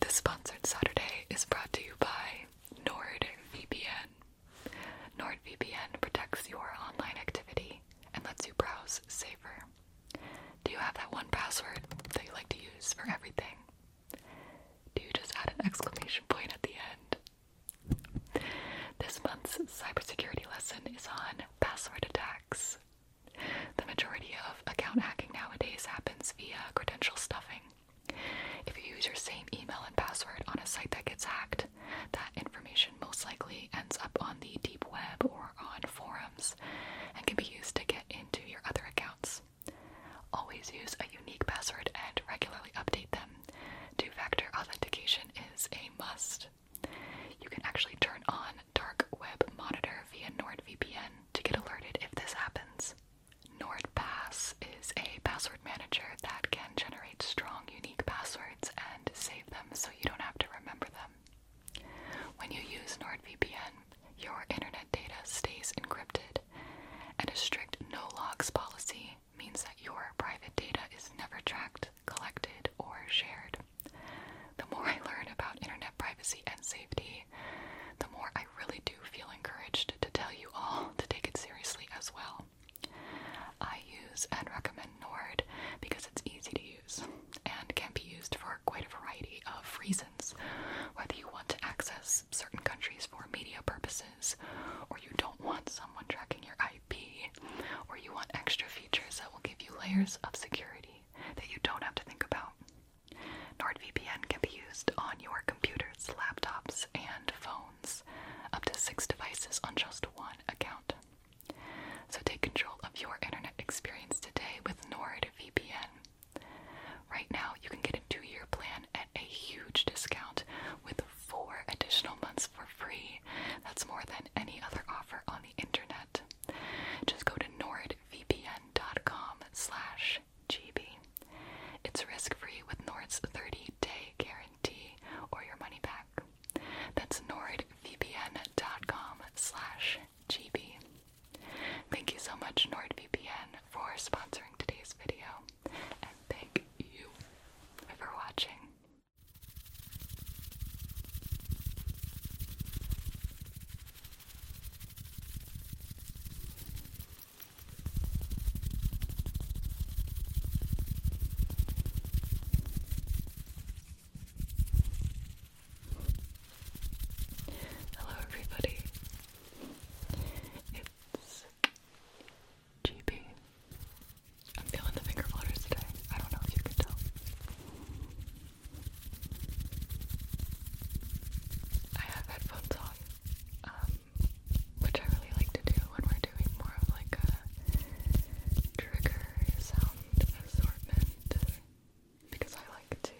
This sponsored Saturday is brought to you by NordVPN. NordVPN protects your online activity and lets you browse safer. Do you have that one password that you like to use for everything? Do you just add an exclamation point at the end? This month's cybersecurity lesson is on password attacks. The majority of account hacking nowadays happens via credential stuffing. If you use your same email and password on a site that gets hacked, that information most likely ends up on the deep web or on forums and can be used to get into your other accounts. Always use a unique password and regularly update them. Two factor authentication is a must. You can actually turn on Dark Web Monitor via NordVPN to get alerted if this happens. NordPass is a password manager that can generate strong, unique passwords and save them so you don't have to remember them. When you use NordVPN, your internet data stays encrypted, and a strict no logs policy means that your private data is never tracked, collected, or shared the more I learn about internet privacy and safety, the more I really do feel encouraged to tell you all to take it seriously as well. I use and recommend Nord because it's easy to use and can be used for quite a variety of reasons. Whether you want to access certain countries for media purposes, or you don't want someone tracking your IP, or you want extra features that will give you layers of security that you don't have to think about. NordVPN can be used on your computers, laptops, and phones, up to six devices on just one account. So take control of your internet experience today with NordVPN. Right now, you can get a two year plan at a huge discount with four additional months for free. That's more than any other offer on the internet. Just go to Nord vpn.com slash gb. It's risk-free with Nord's 30-day guarantee or your money back. That's nordvpn.com slash gb. Thank you so much NordVPN for sponsoring today's video, and thank you for watching. Hello, everybody. It's GB. I'm feeling the finger flutters today. I don't know if you can tell. I have headphones on, um, which I really like to do when we're doing more of like a trigger sound assortment because I like to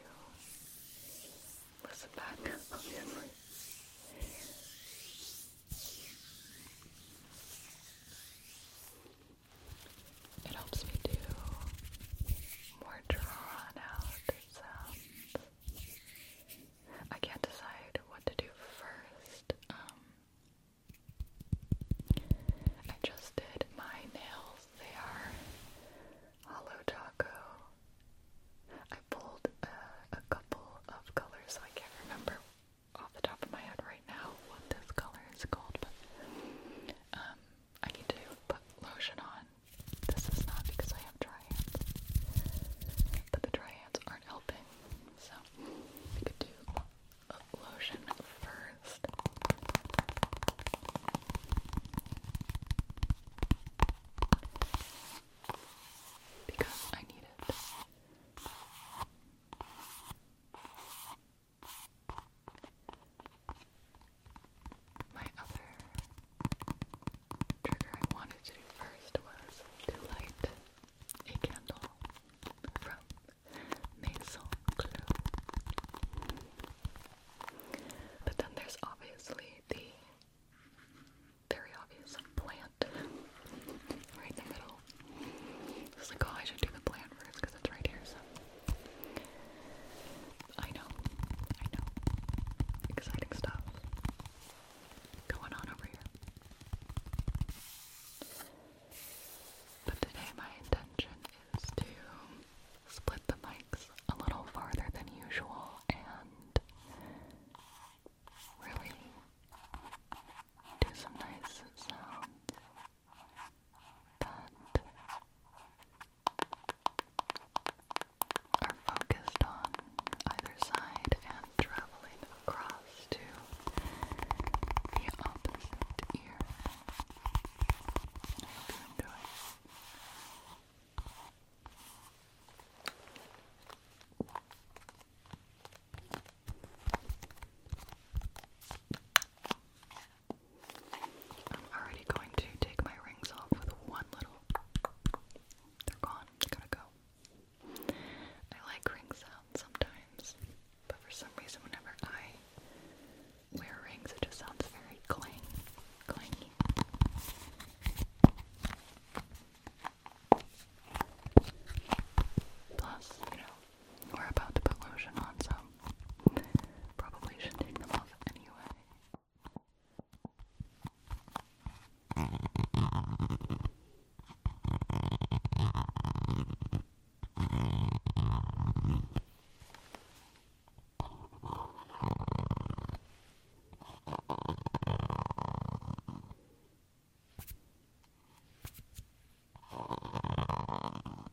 listen back, obviously. It helps me do more drawn out sounds. I can't decide what to do first. Um, I just did my nails. They are hollow taco. I pulled a couple of colors, I can't remember off the top of my head right now what this color is called, but um, I need to put lotion on. This is not because I have dry hands, but the dry hands aren't helping. So we could do lotion first. Because I need it. My other trigger I wanted to do first was to light a candle from Maison Clos. But then there's obviously the very obvious plant right in the middle. I like, oh, I should do the plant first because it's right here, I know, I know. Exciting stuff going on over here. But today, my intention is to split the mics a little farther than usual and really do some nice sounds that are focused on either side and traveling across to the opposite ear. you I'm already going to take my rings off with one little. They're gone. they to go. I like ring sounds sometimes, but for some reason, whenever I wear rings, it just sounds very clang, clangy. Plus, you know, we're about to put lotion on, so Probably should take them off anyway.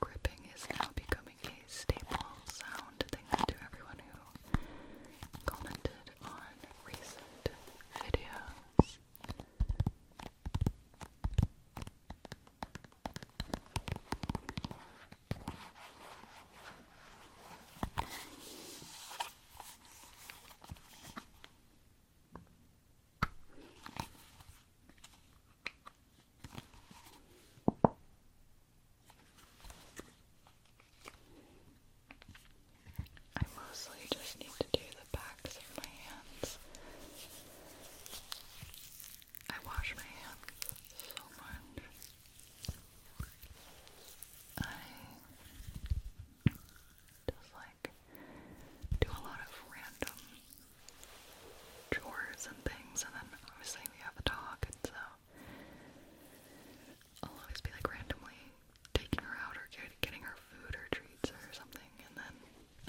Gripping is now becoming a staple sound. Thanks to everyone who commented on recent videos. I mostly just need to do the backs of my hands. I wash my hands so much. I just like do a lot of random chores and things, and then obviously we have a dog, and so I'll always be like randomly taking her out or getting her food or treats or something, and then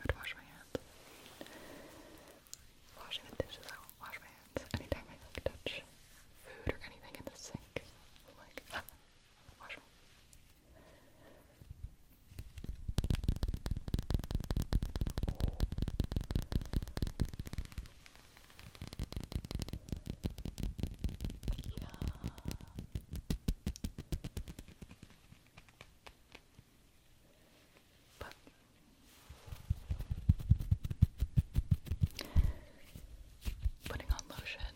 I'd wash my hands washing the dishes, I don't wash my hands. Anytime I like touch food or anything in the sink, like, wash putting on lotion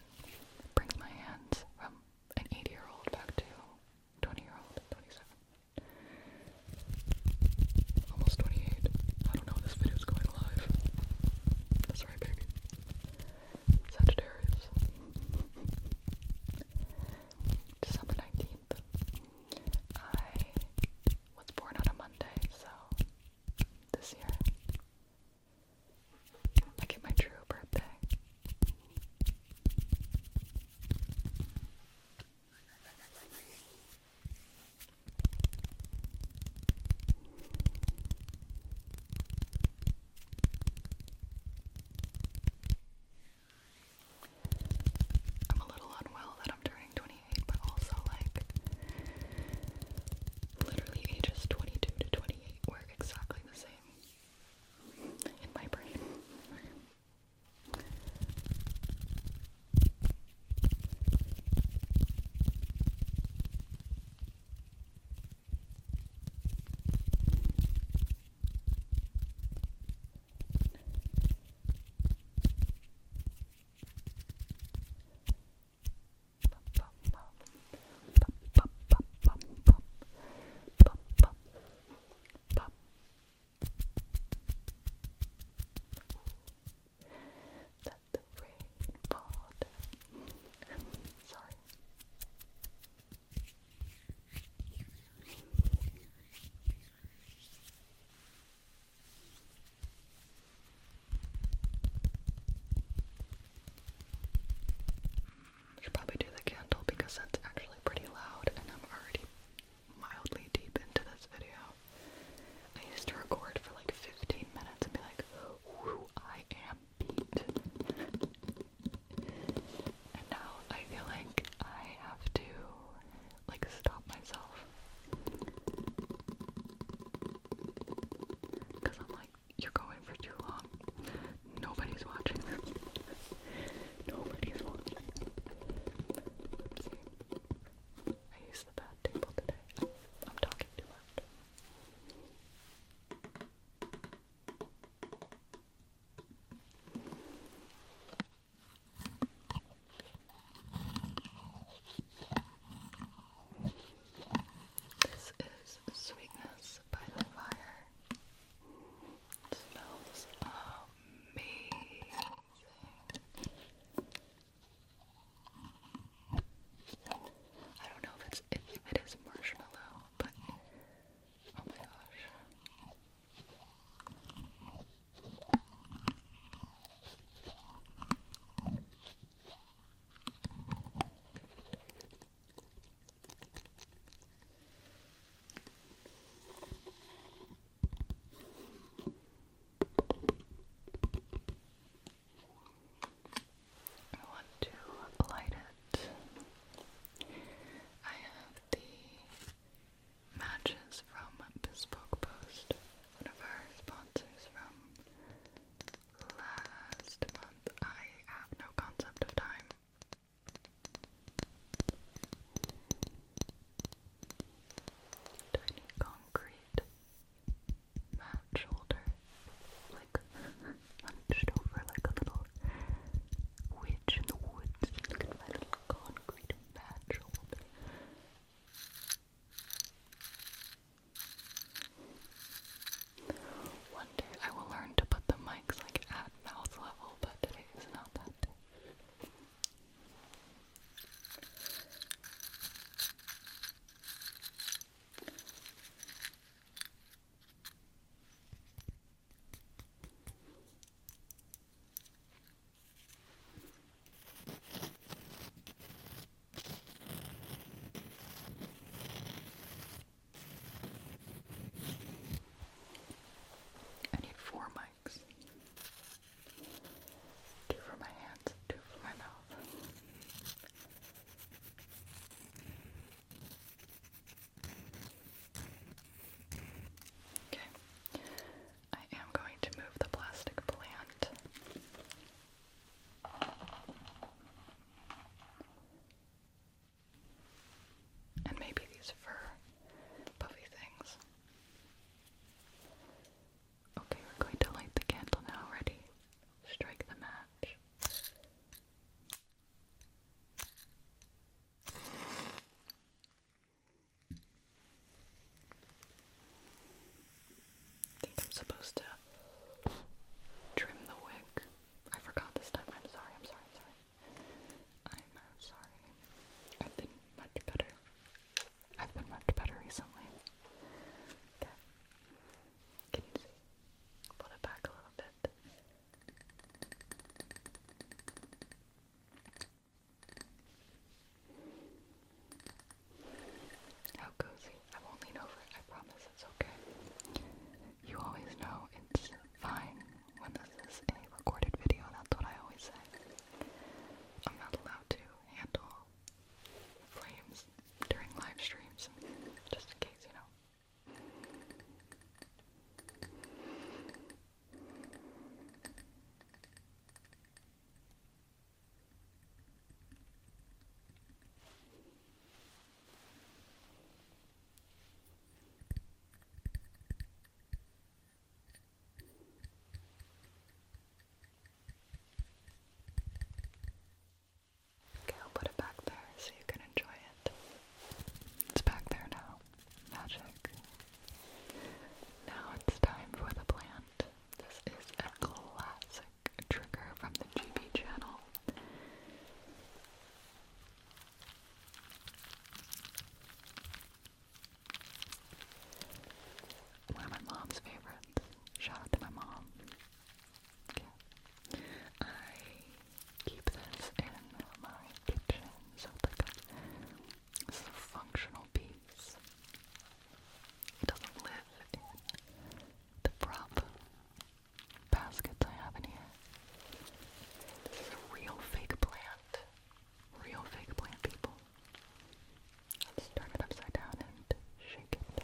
brings my hands from an 80 year old back to 20 year old, 27. Almost 28. I don't know if this video is going live. That's right, baby. Sagittarius. December 19th. I was born on a Monday, so this year I get my true birthday. I'm a little unwell that I'm turning 28, but also like literally ages 22 to 28 were exactly the same in my brain. That the rain poured. Sorry should probably do the candle because that's actually pretty loud and I'm already mildly deep into this video. I used to record for like 15 minutes and be like, whoo, I am beat. And now I feel like I have to like stop myself. Cause I'm like, you're going for too long. Nobody's watching. Nobody's watching. I used the bad table today. I'm talking too much. This is Sweetness by the Fire. smells amazing. I don't know if it's if it is marshmallow, but Oh my gosh. I want to light it. I have the matches from Bespoke Post, one of our sponsors from last month. I have no concept of time. Tiny concrete mat shoulder, like hunched over like a little witch in the woods. my little concrete patch One day I will learn to put the mics like at mouth level, but today is not that day. I need four mics two for my hands, two for my mouth. Okay. I am going to move the plastic plant. And maybe these fur puffy things. Okay, we're going to light the candle now. Ready? Strike the match. I think I'm supposed to trim the wick. I forgot this time. I'm sorry, I'm sorry, sorry. I'm uh, sorry. I've been much better. I've been much better recently. Okay. Can you see? Put it back a little bit. How cozy. I won't lean over. I promise it's okay. You always know it's fine when this is a recorded video. That's what I always say. I'm not allowed to handle flames during live streams, just in case, you know. Okay, I'll put it back there so you can enjoy it. It's back there now. Magic. Now it's time for the plant. This is a classic trigger from the GB channel. One of my mom's favorites. Shout out to my mom. I keep this in my kitchen so like a, this is a functional piece. It doesn't live in the prop baskets I have in here. This is a real fake plant. Real fake plant people. turn it upside down and shake it.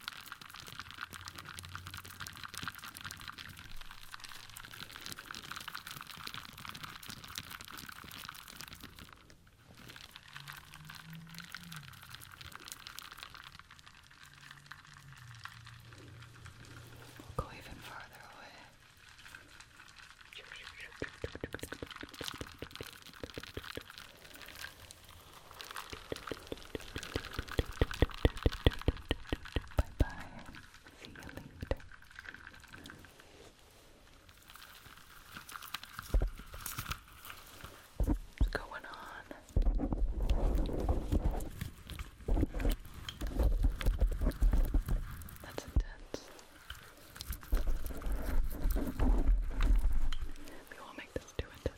We'll go even farther away. Bye bye. See you later. What's going on? That's intense. We will make this too intense.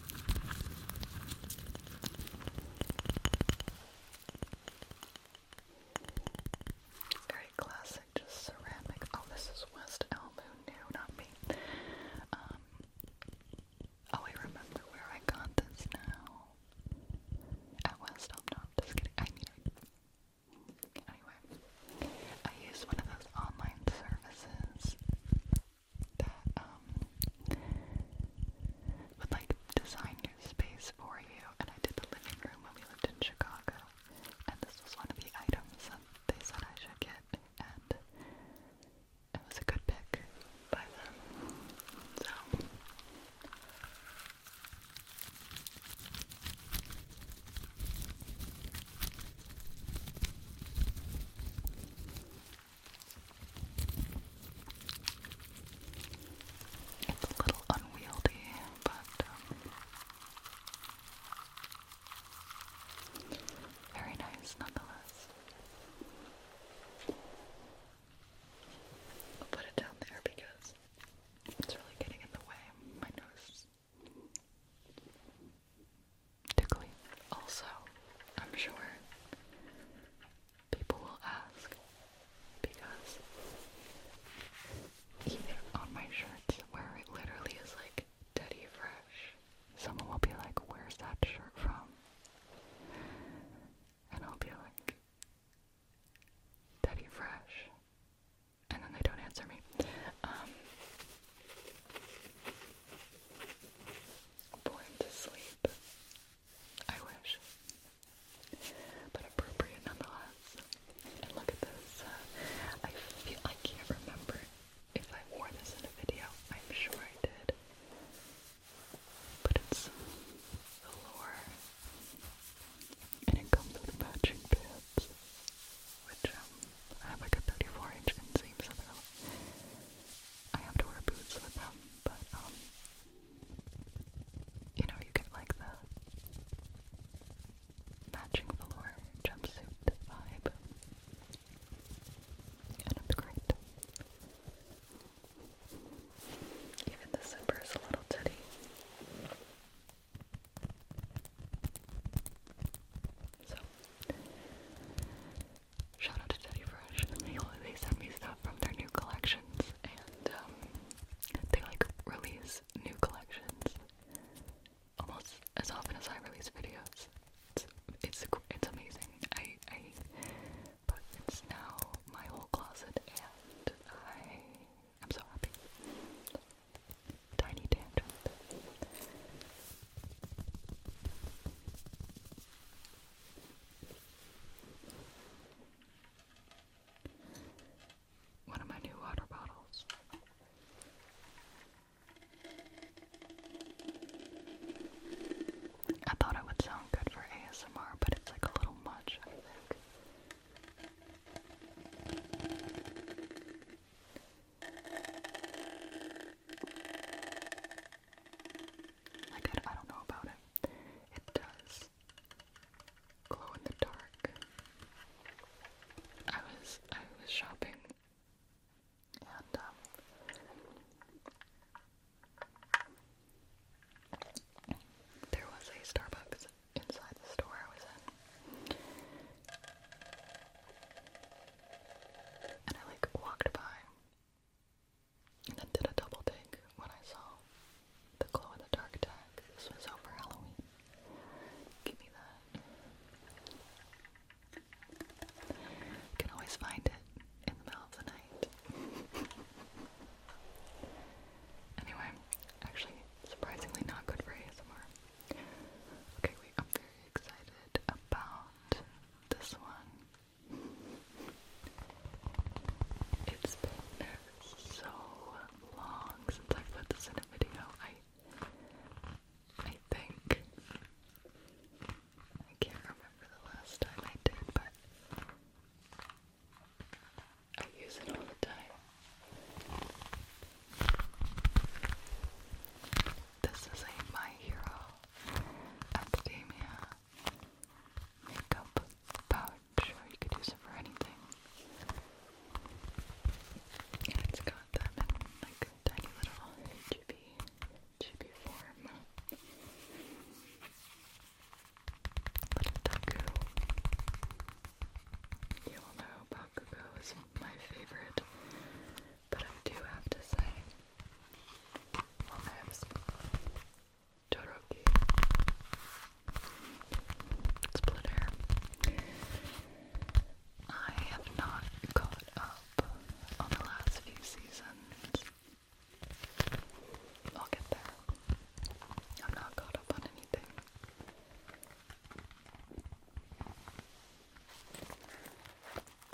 Very classic, just ceramic. Oh, this is West Elm. Who knew? Not me. Um, oh, I remember where I got this now. At West Elm. No, just kidding. I mean, anyway, I used one of those online services that um would like design your space for you. And I did the living room when we lived in Chicago, and this was one of the items that they said I should get, and it was a good pick by them. So. It's a little unwieldy, but um, very nice nonetheless. I'll put it down there because it's really getting in the way. My nose. Also, I'm sure people will ask because even on my shirts where it literally is like Teddy Fresh, someone will be like, Where's that shirt from? And I'll be like, Teddy Fresh. And then they don't answer me. Um, Born to sleep. I wish. But appropriate nonetheless. look at this. Uh, I feel I can't remember if I wore this in a video. I'm sure I did. But it's velour. And it comes with matching pants. Which um, I have like a 34 inch inseam, so I have to wear boots with them, but um, you know, you get like the matching velour jumpsuit vibe, and it's great. Even the zipper is a little titty. So, Shout out to Teddy Fresh. They they send me stuff from their new collections, and um, they like release new collections almost as often as I release videos. It's it's, it's amazing. I I but it's now my whole closet, and I am so happy. Tiny tangent. One of my new water bottles. I thought it would sound good for ASMR, but it's like a little much, I think. I don't know about it. It does glow in the dark. I was, I was shopping and, um, there was a Starbucks inside the store I was in. And I like walked by and then did a double take when I saw the glow in the dark tag. This was over Halloween. Give me that. can always find it in the middle of the night. anyway, actually, surprisingly not good for ASMR. Okay, wait, I'm very excited about this one. It's been so long since I put this in a video. I I think I can't remember the last time I did, but I use it all the time. This is a My Hero Academia makeup pouch, you could use it for anything. And it's got them like tiny little chibi, chibi form. Little Taku. You all know Bakugo is my favorite but I do have to say, I have split hair. I have not caught up on the last few seasons. I'll get there. I'm not caught up on anything.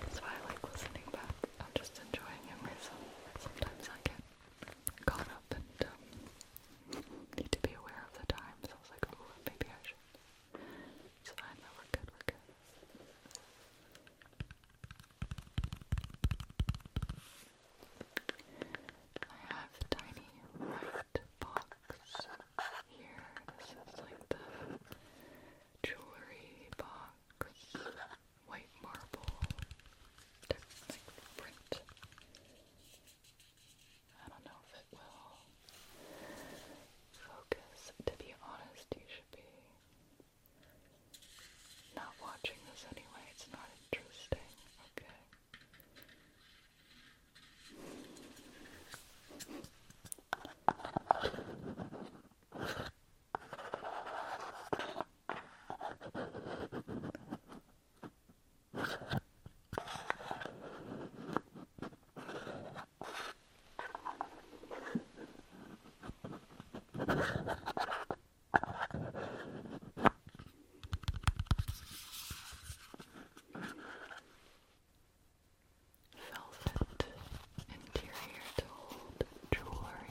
That's why I like listening back. I'm just enjoying it myself. Sometimes I get caught up and um, need to be aware of the time, I was like, oh, maybe I should. It's fine, we're good, we're good. I have the tiny white box here. This is like the jewelry box, white marble like print. I don't know if it will focus. To be honest, you should be not watching this anyway. It's not interesting. Okay. Velvet interior to hold jewelry.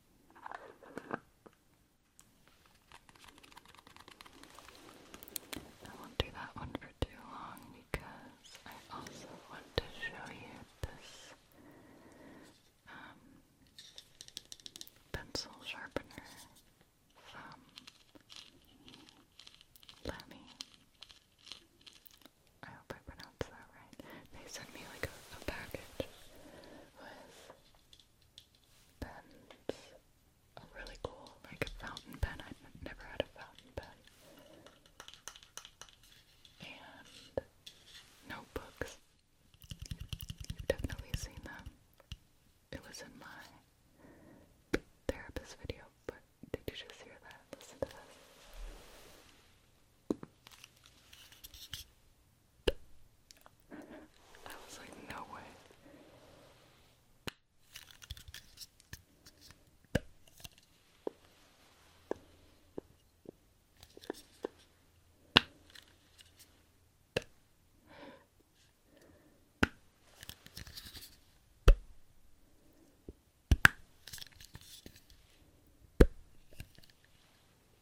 I won't do that one for too long because I also want to show you this um, pencil sharpener from Lamy. I hope I pronounce sounds though, right? They sent me like a, package with pens. A really cool, like fountain pen. I've never had a fountain pen. And notebooks. You've definitely seen them. It was in my therapist video, but did you just hear that? Listen to this. I was like, no way.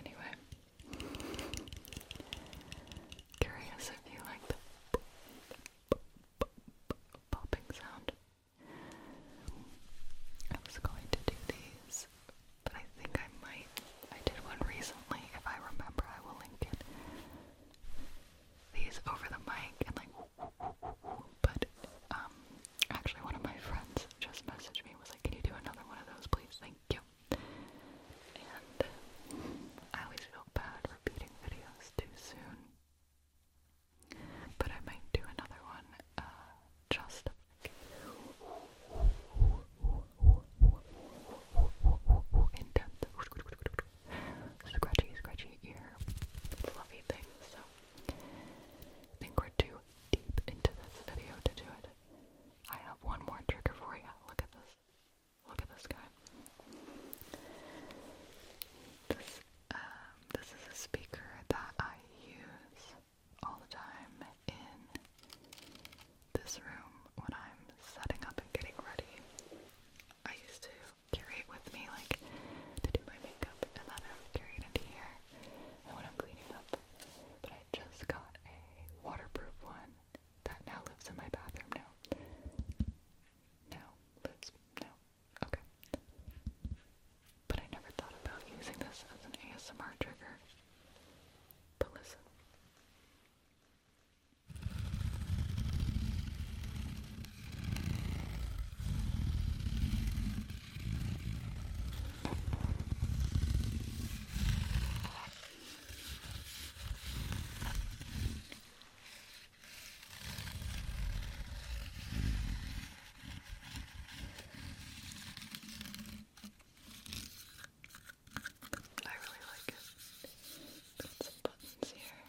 Anyway, curious if you like the popping sound. I was going to do these, but I think I might. I did one recently. If I remember, I will link it. These over the mic and like, but um, actually, one of my friends just messaged me was like, "Can you do another one of those, please? Thank you." And I always feel bad repeating videos too soon. But I might do another one uh, just like in depth. Scratchy, scratchy ear, fluffy thing. So I think we're too deep into this video to do it. I have one more trigger for you. Look at this. Look at this guy. Um, this is a speaker that I use all the time in this room when I'm setting up and getting ready. I used to carry it with me, like to do my makeup, and then I would carry it here and when I'm cleaning up. But I just got a waterproof one that now lives in my bathroom. now, no, lives, no, Okay. But I never thought about using this as an ASMR trigger. But listen. I really like it. some buttons here.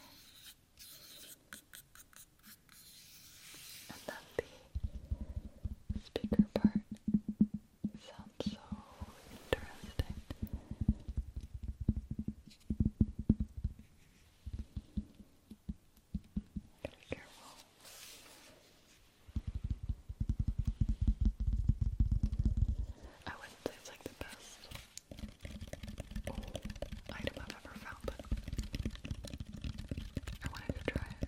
And then the speaker part sounds so interesting. Gotta I would say it's like the best item I've ever found, but I wanted to try it.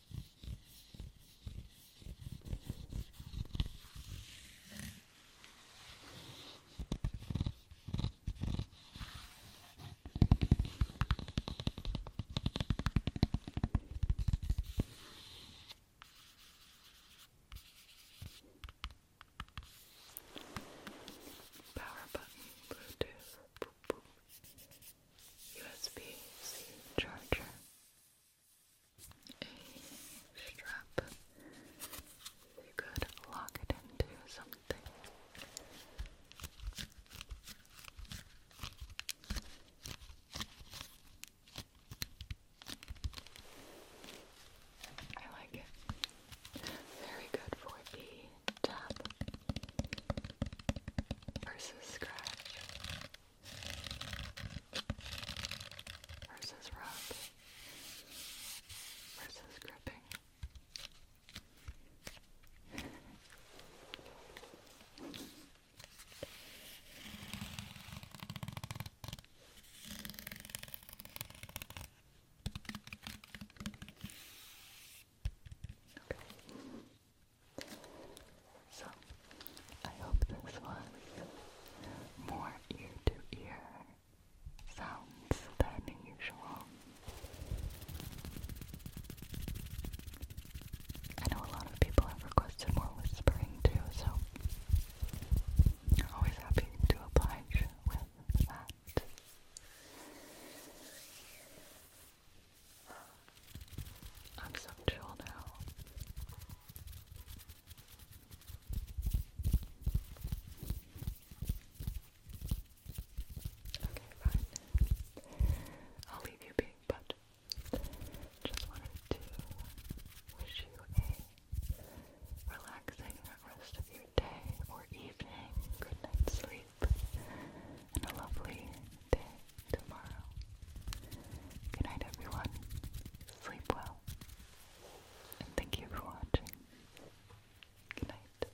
Power button, Bluetooth, boop, boop. USB C charger a strap you could lock it into something. I like it. Very good for the tap versus scratch versus rub versus gripping. Okay. So, I hope this was more ear to ear sounds than usual. I know a lot of people have requested more whispering too, so always happy to oblige with that. I'm so chill now. Okay, fine. I'll leave you being, but just wanted to wish you a relaxing rest of your day or evening, good night's sleep, and a lovely day tomorrow. Good night, everyone. Sleep well. And thank you for watching. Good night.